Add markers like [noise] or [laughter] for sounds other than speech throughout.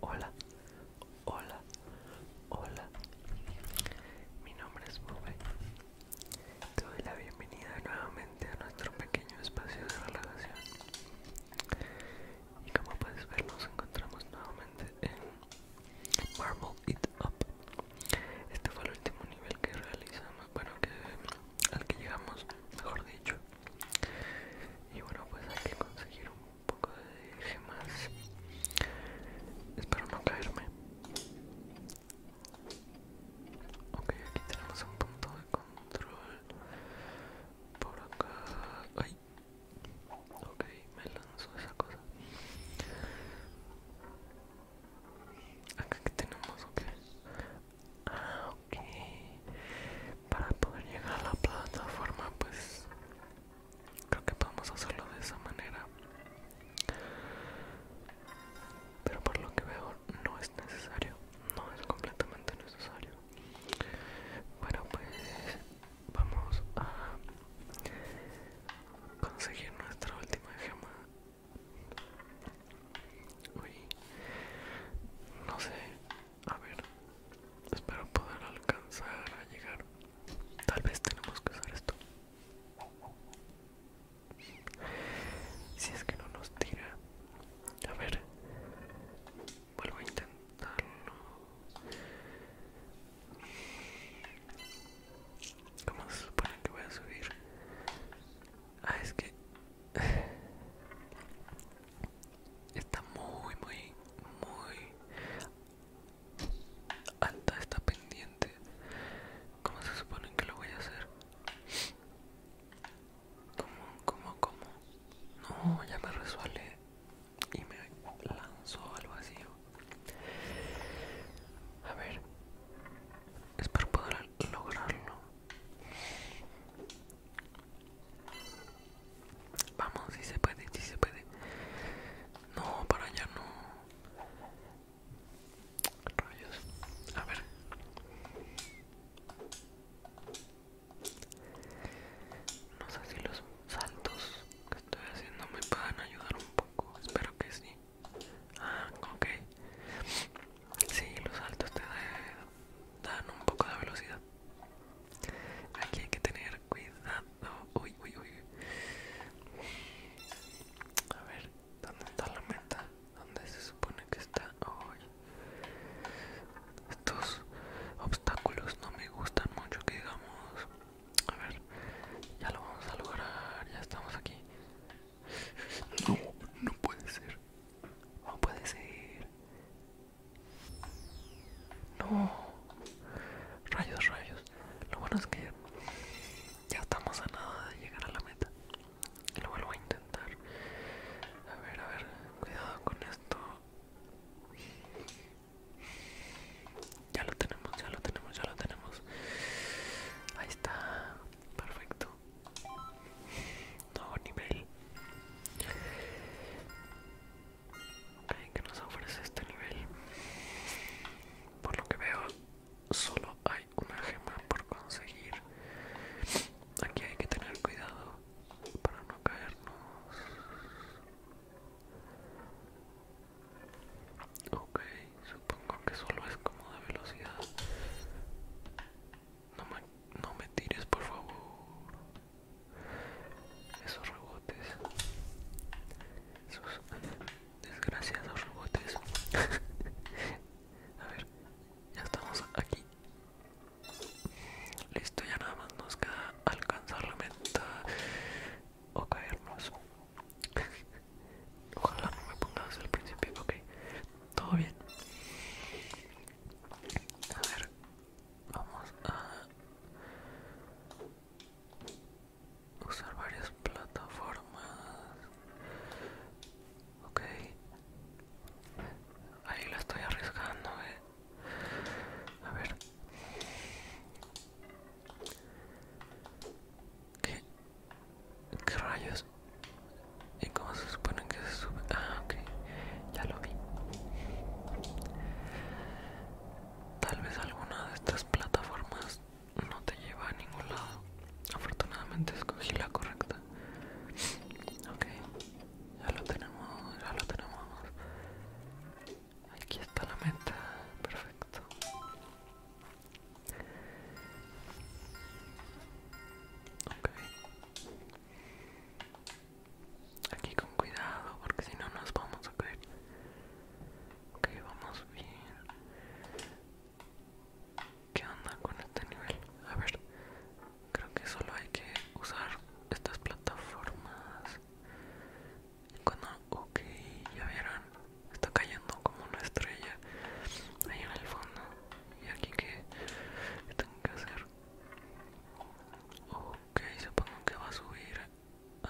Hola, hola, hola. Mi nombre es Bube. Te doy la bienvenida nuevamente a nuestro pequeño espacio de relajación. Y como puedes ver, nos encontramos nuevamente en Marble It Up. Este fue el último nivel que realizamos, bueno, que, al que llegamos, mejor dicho. Y bueno, pues hay que conseguir un un poco de gemas espero no caerme ok aquí tenemos un punto de control por acá ay ok me lanzo esa cosa acá que tenemos ok ah, y para poder llegar a la plataforma pues creo que podemos hacerlo de esa manera pero por lo que veo no es necesario no es completamente necesario bueno pues vamos a conseguir nuestra última gema Uy, no sé a ver, espero poder alcanzar a llegar. Tal vez tenemos que usar esto. Si es que no nos tira. A ver, vuelvo a intentarlo. ¿Cómo se supone que voy a subir? Ah, es que... Está muy, muy, muy alta esta pendiente. ¿Cómo se supone que lo voy a hacer? ¿Cómo, cómo, cómo? No, ya me resuelve y me lanzó al vacío. A ver, espero poder lograrlo. Vamos, si se puede, si se puede. No, para allá no. Rayos. A ver. No sé si los saltos que estoy haciendo me puedan ayudar un poco. Espero que sí. Ah, ok. Sí, los saltos te dan un poco de velocidad. Aquí hay que tener cuidado. Uy, uy, uy. A ver, ¿dónde está la meta? ¿Dónde se supone que está? Uy. Estos obstáculos no me gustan mucho, que digamos. A ver, ya lo vamos a lograr. Ya estamos aquí. No, no puede ser. No puede ser. No. Rayos, rayos. Lo bueno es que ya estamos a nada de llegar a la meta. Lo vuelvo a intentar. A ver, a ver. Cuidado con esto. Ya lo tenemos, ya lo tenemos, ya lo tenemos. Ahí está. Perfecto. Nuevo nivel. Ok, ¿Qué nos ofrece este nivel? Por lo que veo, solo hay una gema por conseguir. Aquí hay que tener cuidado para no caernos. Ok, supongo que solo es como de velocidad. No me, no me tires, por favor. Esos rebotes. Esos desgraciados rebotes. [laughs] A ver, ya estamos aquí. Listo, ya nada más nos queda alcanzar la meta o caernos. [laughs] Ojalá no me pongas al principio, ok. Todo bien. A ver, vamos a usar varias plataformas. Ok, ahí la estoy arriesgando, eh. A ver, ¿qué, ¿Qué rayos? ¿Y cómo se supone que se sube? Ah, ok, ya lo vi. Tal vez alguna de estas plataformas no te lleva a ningún lado. Afortunadamente escogí la correcta. Ok, ya lo tenemos, ya lo tenemos. Aquí está la meta, perfecto. Ok, Aquí con cuidado, porque si no nos vamos a caer. Ok, vamos bien. ¿Qué onda con este nivel? A ver, creo que solo hay que usar estas plataformas. Cuando, ok, ya vieron, está cayendo como una estrella ahí en el fondo y aquí que tengo que hacer ok supongo que va a subir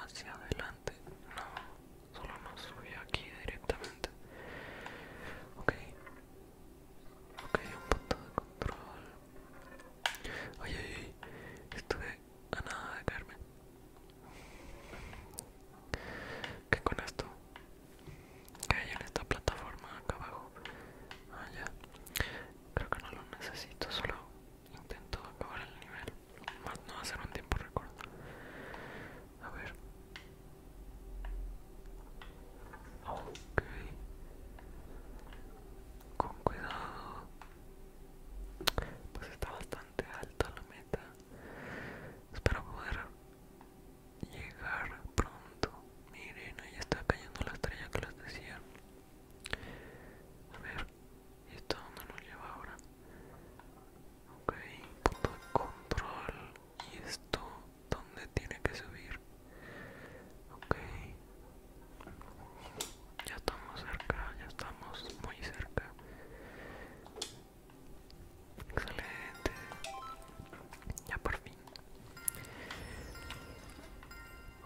hacia adelante no solo no subió aquí directamente ok ok un punto de control ay ay estuve a nada de caerme que con esto que hay en esta plataforma acá abajo ah creo que no lo necesito solo intento acabar el nivel más no hacer un tiempo recuerdo. a ver ok con cuidado pues está bastante alta la meta espero poder llegar pronto. Miren, ahí está cayendo la estrella que les decía. A ver, ¿y esto dónde nos lleva ahora? Ok, punto de control. ¿Y esto dónde tiene que subir? Ok, ya estamos cerca, ya estamos muy cerca. Excelente. Ya por fin.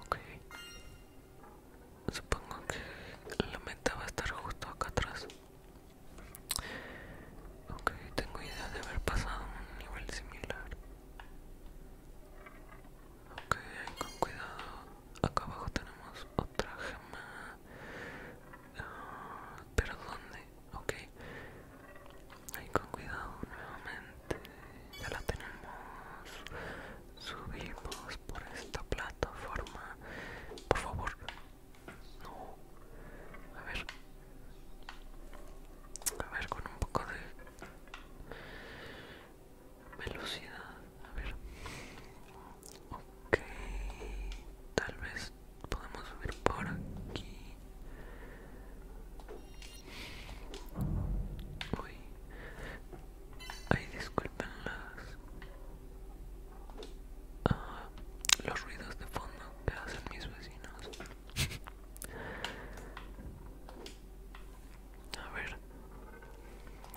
Ok. Supongo que la meta va a estar justo acá atrás. Ok, tengo idea de haber pasado un nivel similar. Ok, con cuidado. Acá abajo tenemos otra gema. Ah, pero ¿dónde? ok ahí con cuidado nuevamente ya la tenemos subimos por esta plataforma por favor no a ver a ver con un poco de velocidad a ver ok tal vez podemos subir por aquí. Uy. Ay, disculpen las, ah, los ruidos de fondo que hacen mis vecinos. A ver,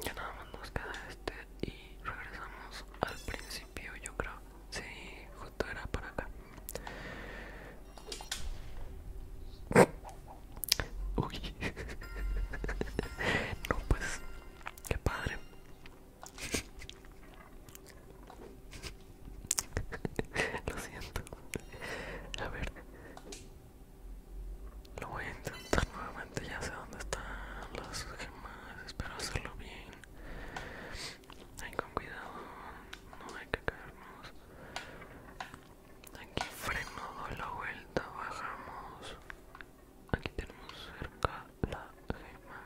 ya nada más nos queda este y regresamos al principio, yo creo. Sí, justo era por acá. Uy. no pues, qué padre. Lo siento. A ver. Lo voy a intentar nuevamente, ya sé dónde están las gemas, espero hacerlo bien. Ahí con cuidado, no hay que caernos. Aquí freno, doy la vuelta, bajamos. Aquí tenemos cerca la gema.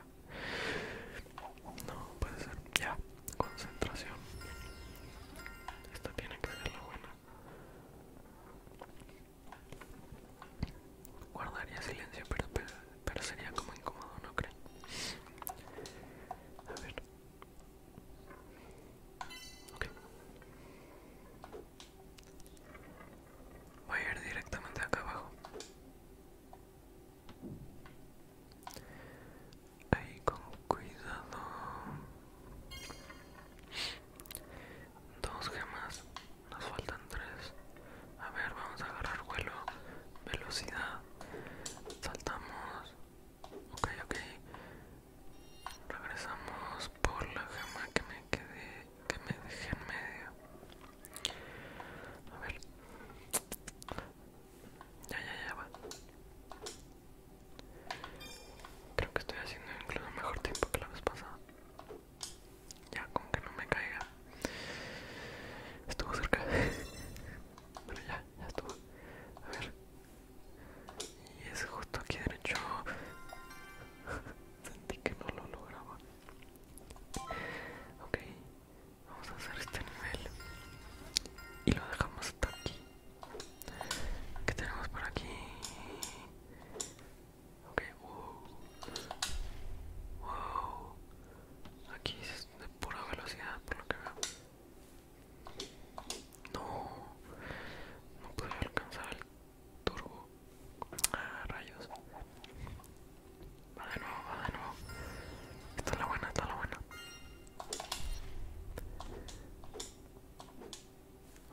No, puede ser. Ya, concentración. Esta tiene que ser la buena. Guardaría silencio, pero espera pero sería como incómodo, ¿no creen? A ver. Voy a ir directamente acá abajo. Ahí con cuidado. Dos gemas. Nos faltan tres. A ver, vamos a agarrar vuelo. Velocidad. Saltamos. Ok, ok. Regresamos por la gema que me quedé, que me dejé en medio. A ver. Ya, ya, ya va. Creo que estoy haciendo incluso mejor tiempo que la vez pasada. Ya, con que no me caiga. Estuvo cerca. pero [laughs] ya, ya estuvo. A ver. Y es justo aquí derecho. [laughs] Sentí que no lo lograba. Ok, vamos a hacer este nivel. Y lo dejamos hasta aquí. ¿Qué tenemos por aquí? Ok, Wow. Aquí es de pura velocidad, por lo que veo. No. No puedo alcanzar el turbo. Ah, rayos. Va de nuevo, va de nuevo. Está la buena, está la buena.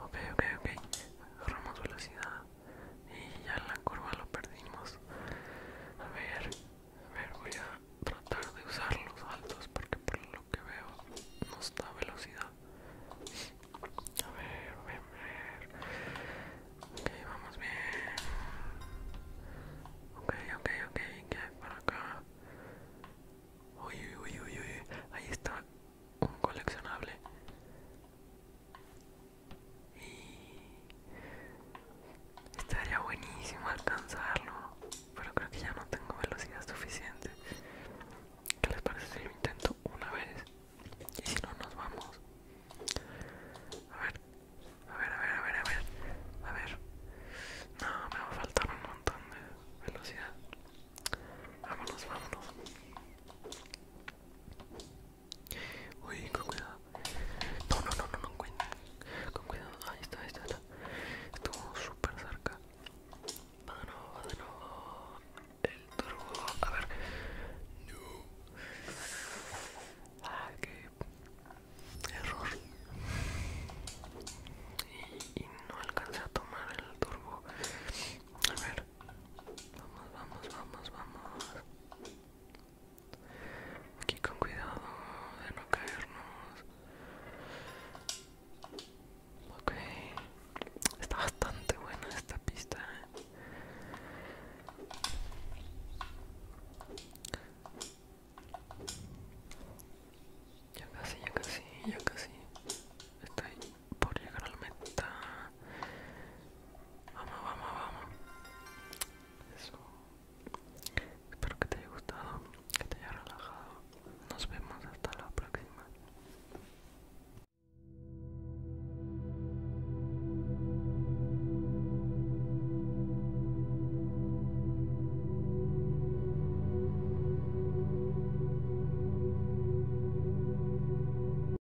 Ok, ok, ok. ahorramos velocidad y ya la curva lo perdimos a ver a ver voy a tratar de usar los altos porque por lo que veo no está velocidad a ver a ver, ok vamos bien ok ok ok que hay para acá uy uy uy uy ahí está un coleccionable Estaría buenísimo alcanzarlo, pero creo que ya no tengo velocidad suficiente. ¿Qué les parece si lo intento una vez? Y si no, nos vamos. A ver, a ver, a ver, a ver, a ver. A ver. No, me va a faltar un montón de velocidad. Vámonos, vámonos. Uy, con cuidado. No, no, no, no, no, con, con cuidado. Ahí está, ahí está. está. Estuvo súper cerca. Va de nuevo, va de nuevo. El turbo. A ver. No. Ah, qué error. y no alcancé a tomar el turbo. A ver. Vamos, vamos, vamos, vamos. Aquí con cuidado de no caernos. Ok. Está bastante buena esta pista. ¿eh? Ya casi, ya casi, ya casi. Estoy por llegar a la meta. Vamos, vamos, vamos. Eso. Espero que te haya gustado, que te haya relajado. Nos vemos hasta la próxima.